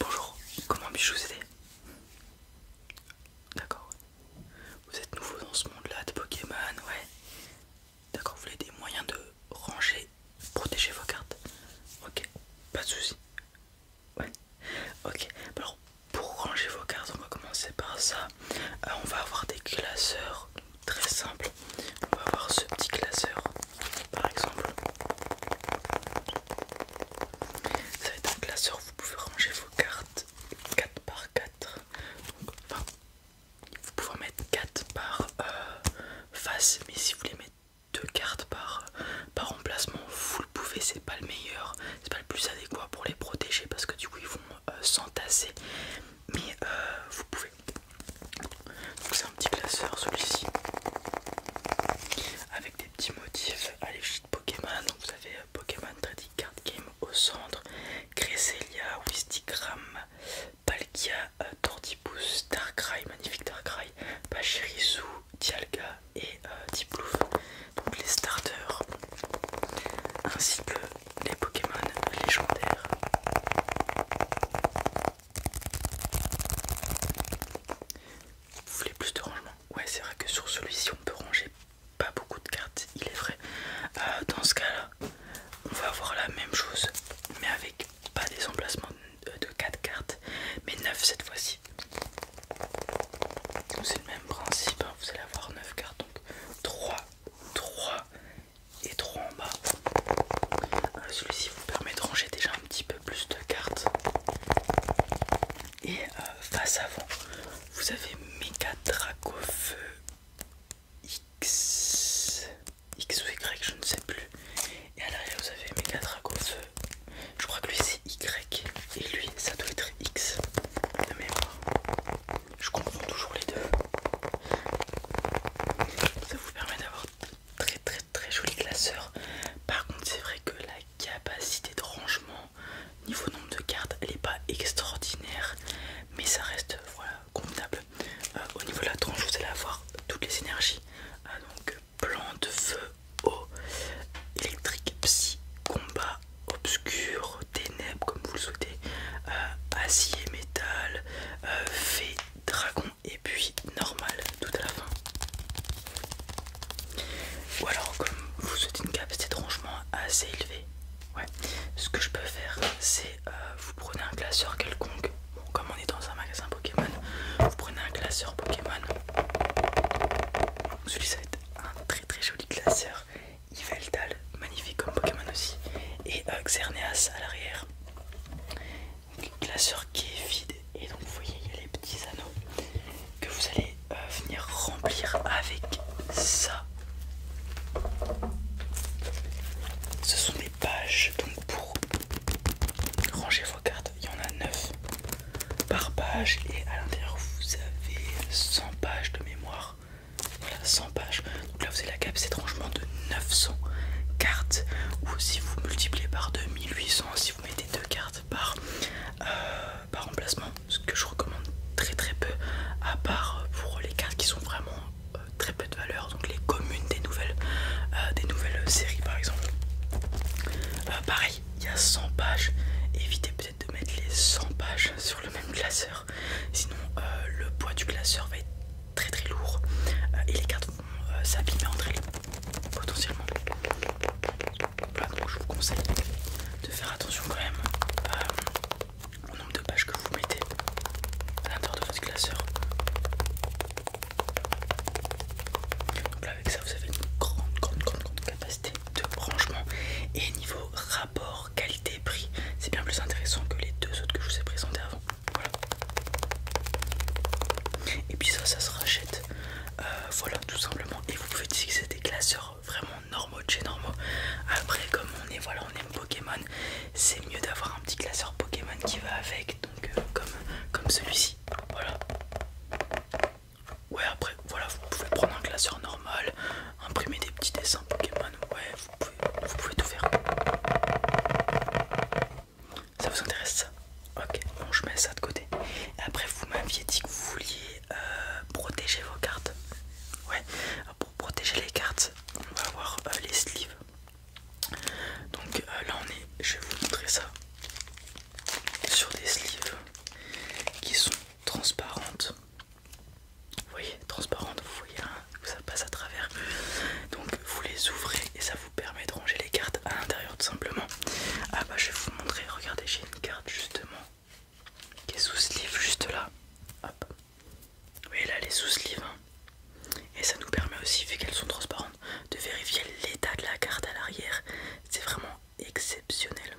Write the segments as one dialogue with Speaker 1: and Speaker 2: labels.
Speaker 1: Bonjour, comment puis-je vous aider D'accord. Vous êtes nouveau dans ce monde-là de Pokémon, ouais. D'accord, vous voulez des moyens de ranger, protéger vos cartes Ok, pas de soucis. Ouais. Ok, alors pour ranger vos cartes, on va commencer par ça. Euh, on va avoir des classeurs très simples. On va avoir ce petit classeur par exemple. Ça va être un classeur, vous pouvez ranger vos cartes 4 par 4. enfin, vous pouvez en mettre 4 par euh, face, mais si vous voulez mettre 2 cartes par, euh, par emplacement, vous le pouvez, c'est pas le meilleur, c'est pas le plus adéquat pour les protéger parce que du coup ils vont euh, s'entasser. Mais vous pouvez petit classeur celui-ci avec des petits motifs à l'égide de Pokémon. vous avez euh, Pokémon Trading Card Game au centre, Cresselia, Wistigram, Palkia, euh, Tortipus, Darkrai, magnifique Darkrai, Pachirisu, Dialga et euh, Donc les starters ainsi que les Pokémon légendaires. Vous voulez plus de rangement Ouais, c'est vrai que sur celui-ci, on peut ranger pas beaucoup de cartes, il est vrai. Euh, dans ce cas-là, on va avoir la même chose, mais avec pas des emplacements de 4 euh, cartes, mais 9 cette fois-ci. C'est le même principe, hein. vous allez avoir 9 cartes, donc 3, 3 et 3 en bas. Euh, celui-ci vous permet de ranger déjà un petit peu plus de cartes. Et euh, face avant, vous avez Mega feu X. X ou Y, je ne sais plus. Et à l'arrière, vous avez Mega feu Je crois que lui c'est Y. Et lui, ça doit être X. De mémoire. Je comprends toujours les deux. Ça vous permet d'avoir très très très joli classeur. Par contre, c'est vrai que la capacité de rangement niveau nombre de cartes, elle n'est pas extraordinaire, mais ça reste voilà convenable. Euh, au niveau de la tranche, vous allez avoir toutes les énergies, euh, donc plan de feu, eau, électrique, psy, combat, obscur, ténèbres comme vous le souhaitez, euh, acier, métal, fait fée, dragon, et puis normal tout à la fin. Ou alors comme vous souhaitez une capacité c'est rangement assez élevé. ouais, ce que je peux faire c'est euh, vous prenez un classeur quelconque, bon, comme on est dans un magasin Pokémon, vous prenez un classeur Pokémon. Celui ça va être un très très joli classeur. Yveltal, magnifique comme Pokémon aussi. Et euh, Xerneas à l'arrière donc classeur qui est vide et donc vous voyez il y a les petits anneaux que vous allez euh, venir remplir avec ça ce sont des pages donc pour ranger vos cartes il y en a 9 par page et à l'intérieur vous avez 100 pages de mémoire voilà 100 donc là, vous avez la cap c'est de 900 cartes. Ou si vous multipliez par 2800, si vous mettez deux cartes par, euh, par emplacement, ce que je recommande très très peu, à part euh, pour les cartes qui sont vraiment euh, très peu de valeur, donc les communes des nouvelles, des nouvelles séries par exemple. pareil, il y a 100 pages. Évitez peut-être de mettre les 100 pages sur le même classeur, sinon le poids du classeur va être très très lourd euh, et les cartes vont euh, entre elles potentiellement. donc je vous conseille de faire attention quand même euh, au nombre de pages que vous mettez à l'intérieur de votre classeur. Donc avec ça vous avez une grande grande grande, grande capacité de rangement et niveau rapport qualité prix c'est bien plus intéressant que les deux autres que je vous ai présentés avant et puis ça, ça se rachète. Euh, voilà, tout simplement. Et vous pouvez c'est des classeurs vraiment normaux de chez normaux. Après, comme on est, voilà, on aime Pokémon, c'est mieux d'avoir un petit classeur Pokémon qui va avec. Donc, euh, comme, comme celui-ci. Voilà. Ouais, après, voilà, vous pouvez prendre un classeur normal, imprimer des petits dessins Pokémon. Ouais, vous pouvez, tout faire. Ça vous intéresse ça Ok, bon je mets ça de côté. après vous m'aviez dit que vous vouliez euh, protéger vos cartes. Ouais, euh, pour protéger les cartes, on va avoir euh, les sleeves. Donc là on est, je vais vous montrer ça sur des sleeves qui sont transparentes vous voyez, transparente, vous voyez, hein, ça passe à travers. Donc vous les ouvrez et ça vous permet de ranger les cartes à l'intérieur tout simplement. Ah bah je vais vous montrer, regardez, j'ai une carte justement qui est sous ce livre juste là. Hop. Vous voyez là, les sous-sleeves. Hein. Et ça nous permet aussi, vu qu'elles sont transparentes, de vérifier l'état de la carte à l'arrière. C'est vraiment exceptionnel.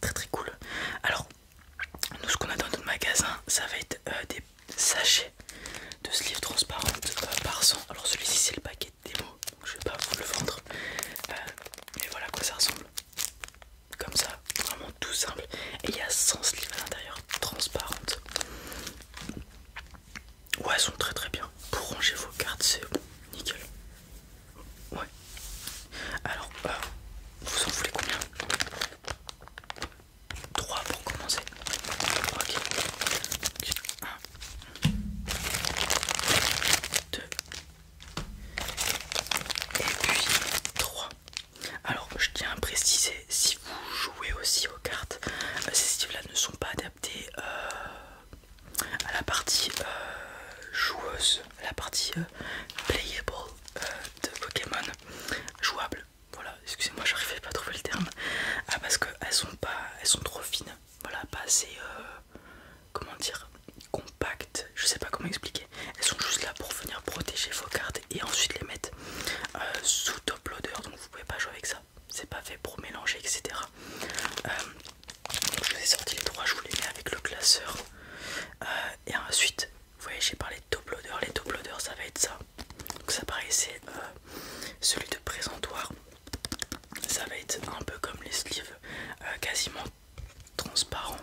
Speaker 1: Très très cool. Alors, nous ce qu'on a dans notre magasin ça va être euh, des sachets de sleeves transparentes par euh, 100 alors celui-ci c'est le paquet de démo je je vais pas vous le vendre euh, mais voilà à quoi ça ressemble comme ça vraiment tout simple et il y a 100 sleeves à l'intérieur transparentes ouais elles sont très très bien pour ranger vos cartes c'est nickel ouais alors vous en voulez combien 3 pour commencer. Ok. 1, 2, et puis 3. Alors, je tiens à préciser, si vous jouez aussi aux cartes, euh, ces styles-là ne sont pas adaptés euh, à la partie euh, joueuse, à la partie playable de Pokémon jouables. Voilà, excusez-moi, j'arrivais pas à trouver le terme. Ah, parce qu'elles sont pas, elles sont trop fines. Voilà, pas assez, euh, comment dire, compactes. Je sais pas comment expliquer. Elles sont juste là pour venir protéger vos cartes et ensuite les mettre euh, sous top loader. Donc vous pouvez pas jouer avec ça. C'est pas fait pour mélanger, etc. Euh, je vous ai sorti les trois, je vous les mets avec le classeur. et ensuite, vous voyez, j'ai parlé de top loader. Les top loaders, ça va être ça. Donc, ça paraissait euh, celui de présentoir. Ça va être un peu comme les sleeves, euh, quasiment transparent.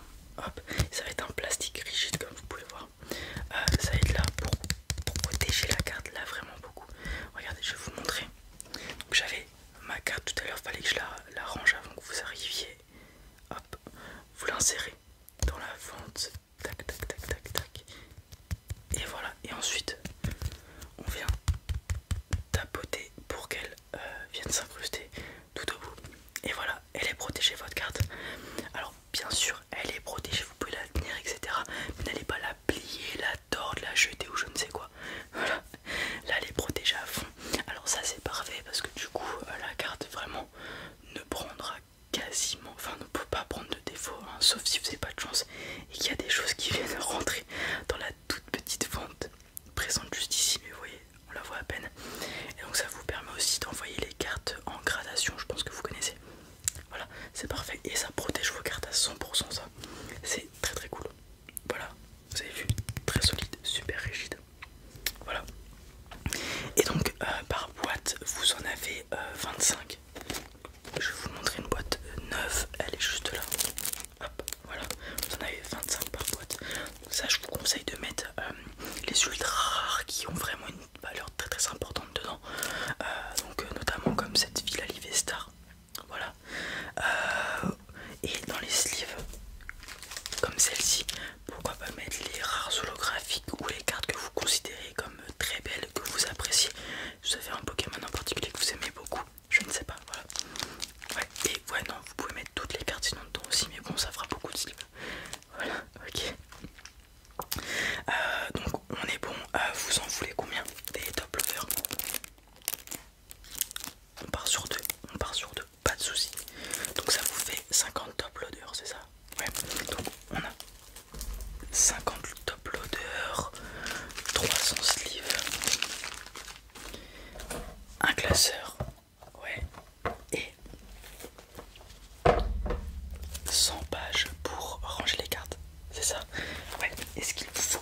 Speaker 1: ça va être un plastique rigide, comme vous pouvez voir. Euh, ça va être là pour, protéger la carte, là vraiment beaucoup. Regardez, je vais vous montrer. j'avais ma carte tout à l'heure, fallait que je la range avant que vous arriviez vous l'insérez dans la fente. Et voilà. Et ensuite, on vient tapoter pour qu'elle euh, vienne s'incruster tout au bout. Et voilà, elle est protégée votre carte. Alors bien sûr, elle est protégée. Vous pouvez la tenir, etc. Mais n'allez pas la plier, la tordre, la jeter ou je ne sais quoi. Voilà. Là, elle est protégée à fond. Alors ça c'est parfait parce que du coup euh, la carte vraiment ne prendra quasiment, enfin ne peut pas prendre de défaut, hein, sauf si vous n'avez pas de chance et qu'il y a des choses qui viennent rentrer dans la toute petite fente présente juste ici, mais vous voyez, on la voit à peine. Et donc ça vous permet aussi d'envoyer les cartes en gradation, je pense que vous connaissez. Voilà, c'est parfait et ça protège vos cartes à 100% ça. C'est très très cool. Voilà, vous avez vu, très solide, super rigide. Voilà. Et donc euh, par boîte, vous en avez 25. Euh, je vais vous montrer une boîte euh, neuve, elle est juste là. Hop, voilà, vous en avez 25 par boîte. Ça, je vous conseille de mettre les ultra rares qui ont vraiment une valeur très très importante dedans. donc, notamment comme cette Villa Livestar. Voilà, et dans les sleeves comme celle-ci, pourquoi pas mettre les rares holographiques ou les cartes que vous considérez comme très belles, que vous appréciez. Vous avez un Pokémon en particulier que vous aimez beaucoup, je ne sais pas, voilà. et ouais non, vous pouvez mettre toutes les cartes sinon dedans aussi, mais bon ça fera beaucoup de sleeves. Voilà, ok. Euh, donc on est bon, euh, vous en voulez combien des top lovers on part sur deux, on part sur deux, pas de soucis. Donc ça vous fait 50 top loaders, c'est ça Ouais, donc on a 50 top loaders, 300 sleeves, un classeur, ouais, et 100 pages pour ranger les cartes, c'est ça Ouais, est-ce qu'il faut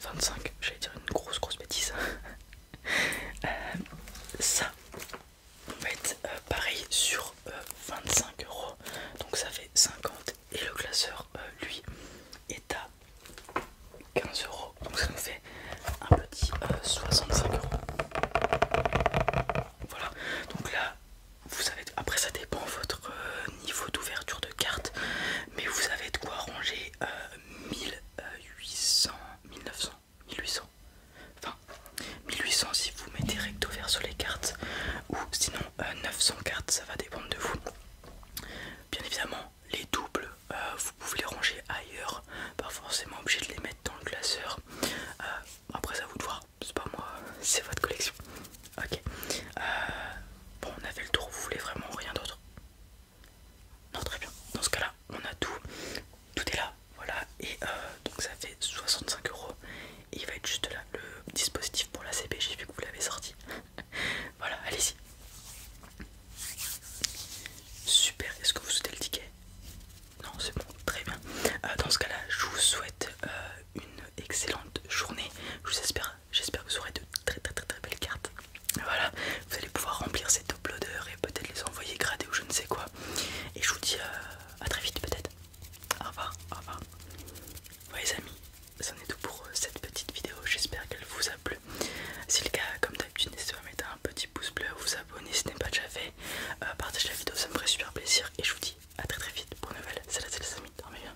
Speaker 1: 25, j'allais dire une grosse grosse bêtise. Euh, ça, on va être euh, pareil sur 25 euh, euros. Donc ça fait 50 et le classeur, lui, est à 15 euros. Donc ça nous fait un petit 65 euros. Voilà, donc là, vous savez, après ça dépend votre niveau d'ouverture de carte, mais vous avez de quoi ranger 1800, 1900, 1800. Enfin, 1800 si vous mettez recto sur les cartes, ou sinon 900 euh, cartes, ça va dépendre de vous. Bien évidemment, les doubles, euh, vous pouvez les ranger ailleurs, pas forcément obligé de les mettre dans le glaceur euh, après, ça vous de voir, c'est pas moi, c'est votre collection. Ok, bon, on a fait le tour, vous voulez vraiment rien d'autre non, très bien. Dans ce cas-là, on a tout. Tout est là. Voilà. Et euh, donc ça fait 65 euros. Et il va être juste là le dispositif pour la CP. J'ai vu que vous l'avez sorti. voilà, allez-y. Super. Est-ce que vous souhaitez le ticket Non, c'est bon. Très bien. Euh, dans ce cas-là, je vous souhaite euh, une excellente journée. Je vous espère j'espère. que vous aurez de très très très très belles cartes. Voilà, vous allez pouvoir remplir ces top et peut-être les envoyer grader ou je ne sais quoi. Et je vous dis euh, à très vite peut-être. Au revoir, au revoir. les amis, c'en est tout pour euh, cette petite vidéo. J'espère qu'elle vous a plu. Si le cas, comme d'habitude, n'hésitez pas à mettre un petit pouce bleu, vous abonner si ce n'est pas déjà fait. Euh, partagez la vidéo, ça me ferait super plaisir. Et je vous dis à très très vite pour une nouvelle. C'est la, c'est dormez